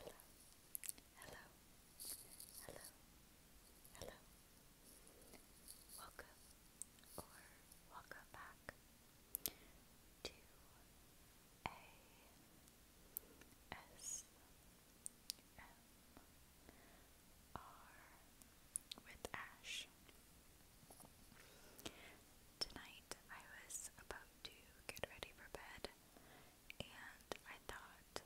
Hello, hello, hello, hello. Welcome or welcome back to a S M R with Ash. Tonight I was about to get ready for bed and I thought,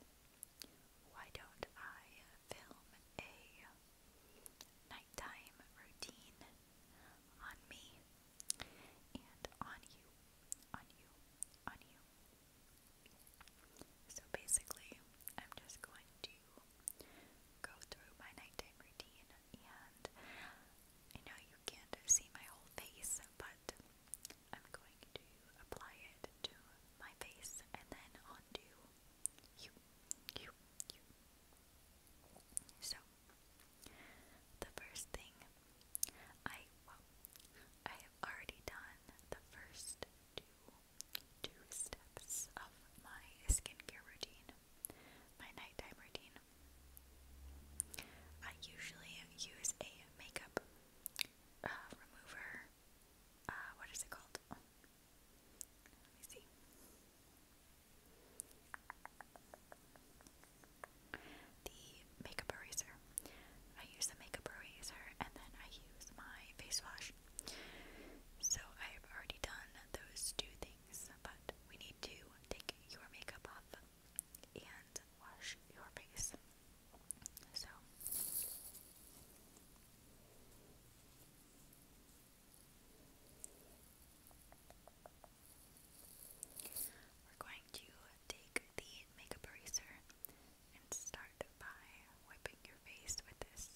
why don't I film a nighttime routine on me and on you, on you, on you? So basically, I'm just going to go through my nighttime routine, and I know you can't see my whole face, but I'm going to apply it to my face and then onto you, So, the first thing I, I have already done the first two, two steps of my skincare routine, my nighttime routine. I usually use a makeup uh, remover. Uh, what is it called? Oh, the makeup eraser. I use the makeup eraser and then I use my face wash. So I have already done those two things, but we need to take your makeup off and wash your face. So we're going to take the makeup eraser and start by wiping your face with this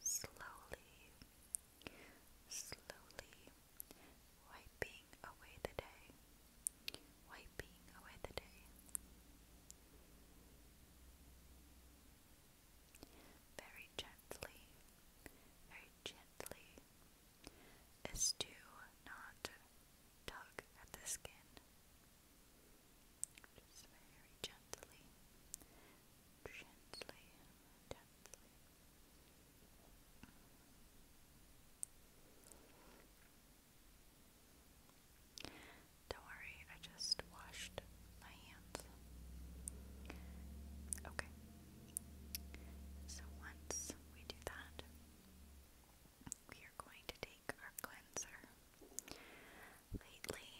slowly, slowly wiping away the day, wiping away the day very gently, very gently, is not tug at the skin. Just very gently, gently, gently. Don't worry, I just washed my hands. Okay. So once we do that, we are going to take our cleanser. Lately,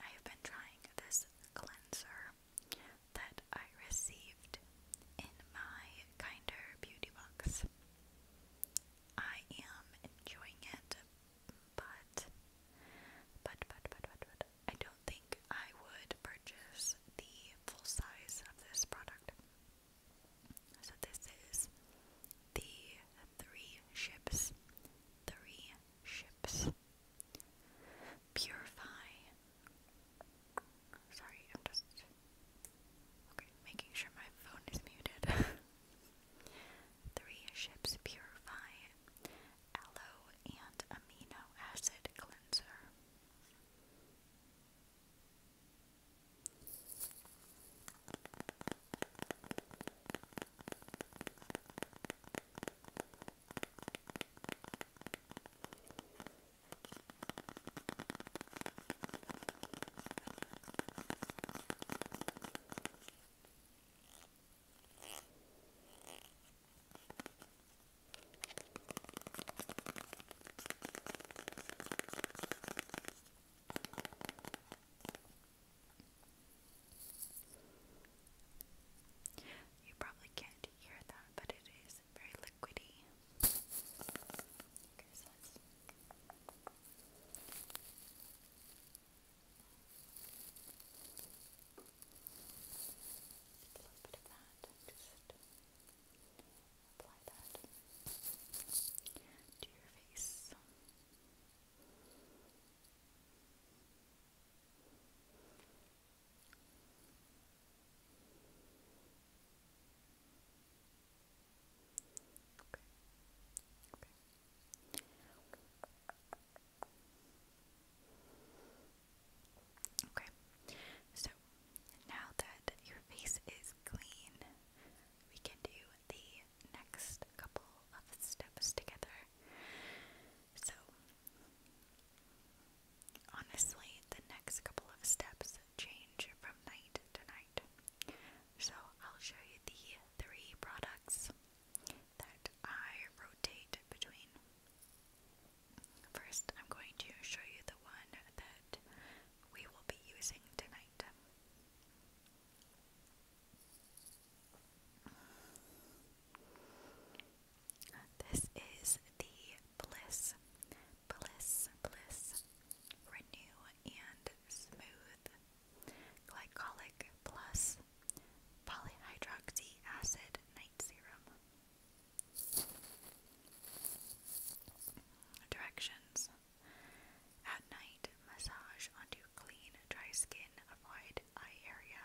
I have been trying this cleanser that I received in my Kinder Beauty Box. I am enjoying it, but, but, but, but, but, I don't think I would purchase the full size of this product. So, this is the Three Ships. Three Ships. Purify. Sorry, I'm just. Okay, making sure my phone is muted. Three Ships Purify aloe and amino acid cleanser. You probably can't hear that, but it is very liquidy. A little bit of that, just apply that to your face. Okay. Okay. Okay, so now that your face is clean, we can do the next couple of steps together. So, honestly, the next couple of steps change from night to night. So, I'll show you the three products that I rotate between. First, I'm going to show you the one that we will be using tonight. This is the Bliss, Bliss, Bliss Renew and Smooth glycolic plus polyhydroxy acid night serum. Directions At night, massage onto clean, dry skin, avoid eye area.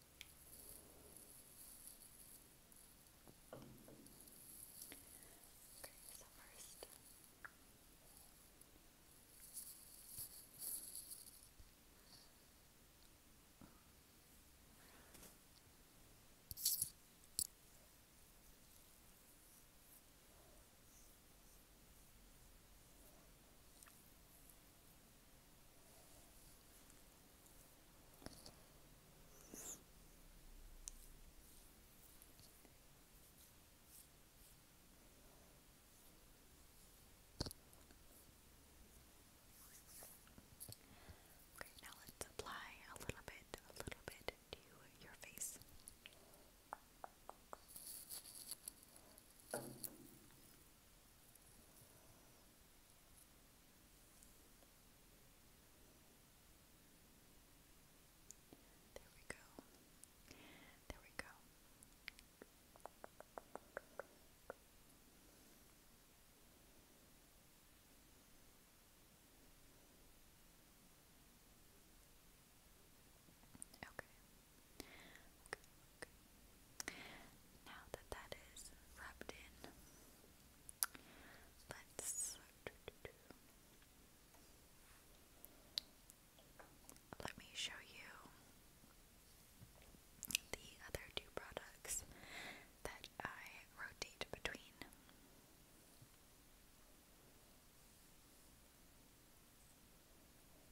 Okay, so first Okay, now let's apply a little bit, a little bit to your face. There we go. There we go. Okay. Okay, Now that that is rubbed in, let's let me show you the other two products that I rotate between.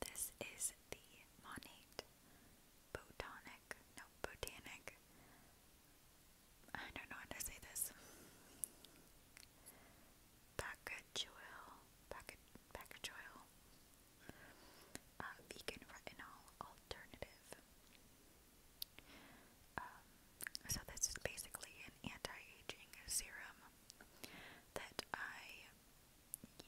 This is the Monate Botanic, no, Botanic. I don't know how to say this. Pacajoil, Pacajoil, uh, vegan retinol alternative. Um, so this is basically an anti-aging serum that I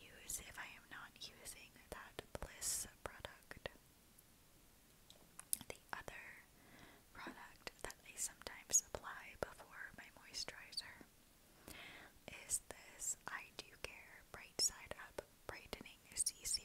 use if I am not using that Bliss product. The other product that I sometimes apply before my moisturizer is this I Do Care Bright Side Up Brightening C Serum.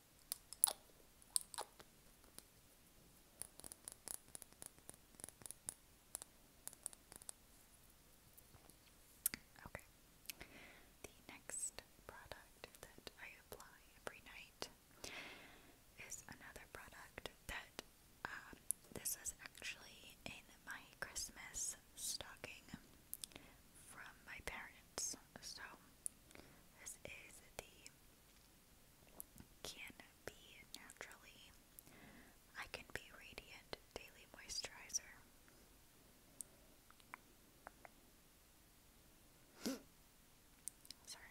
Okay. The next product that I apply every night is another product that um, this is actually in my Christmas stocking from my parents. So this is the can be naturally. I can be radiant daily moisturizer. Sorry.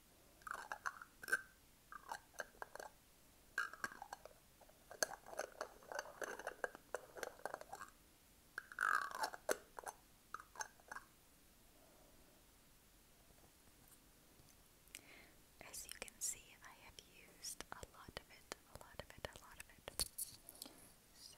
As you can see, I have used a lot of it, a lot of it, a lot of it. So,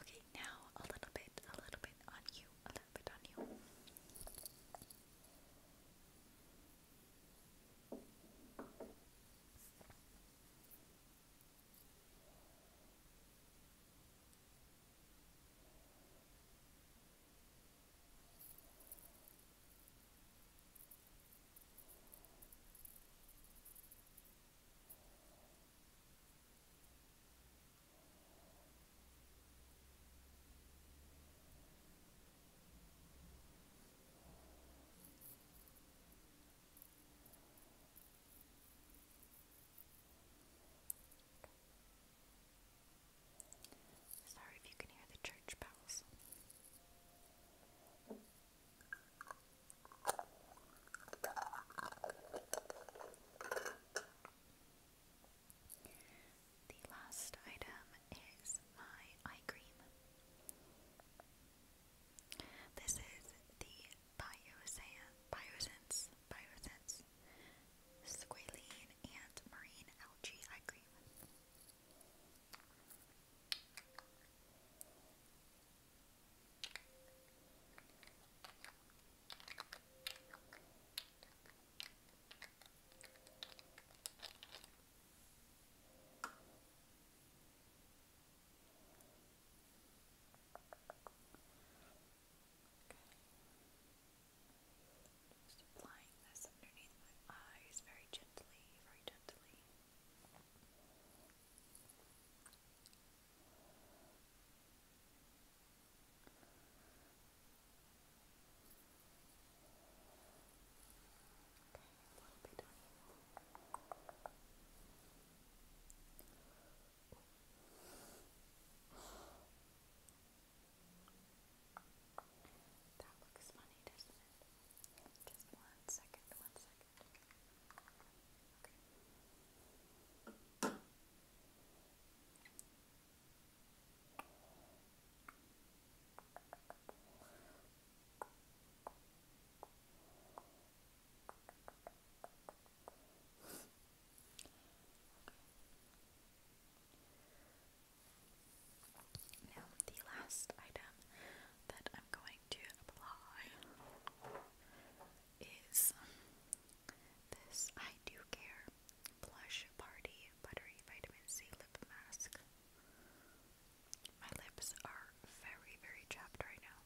Okay, now a little bit, a little bit on you, a little bit on you. Sorry if you can hear the church bells. The last item is my eye cream. This is the Biosan, Biosense, Biosense Squalene and Marine Algae Eye Cream. Just applying this underneath my eyes very gently, very gently a little bit on you. That looks funny, doesn't it? Just one second, Now, the last item that I'm going like to apply is this I Do Care Blush Party Buttery Vitamin C Lip Mask. My lips are very, very chapped right now.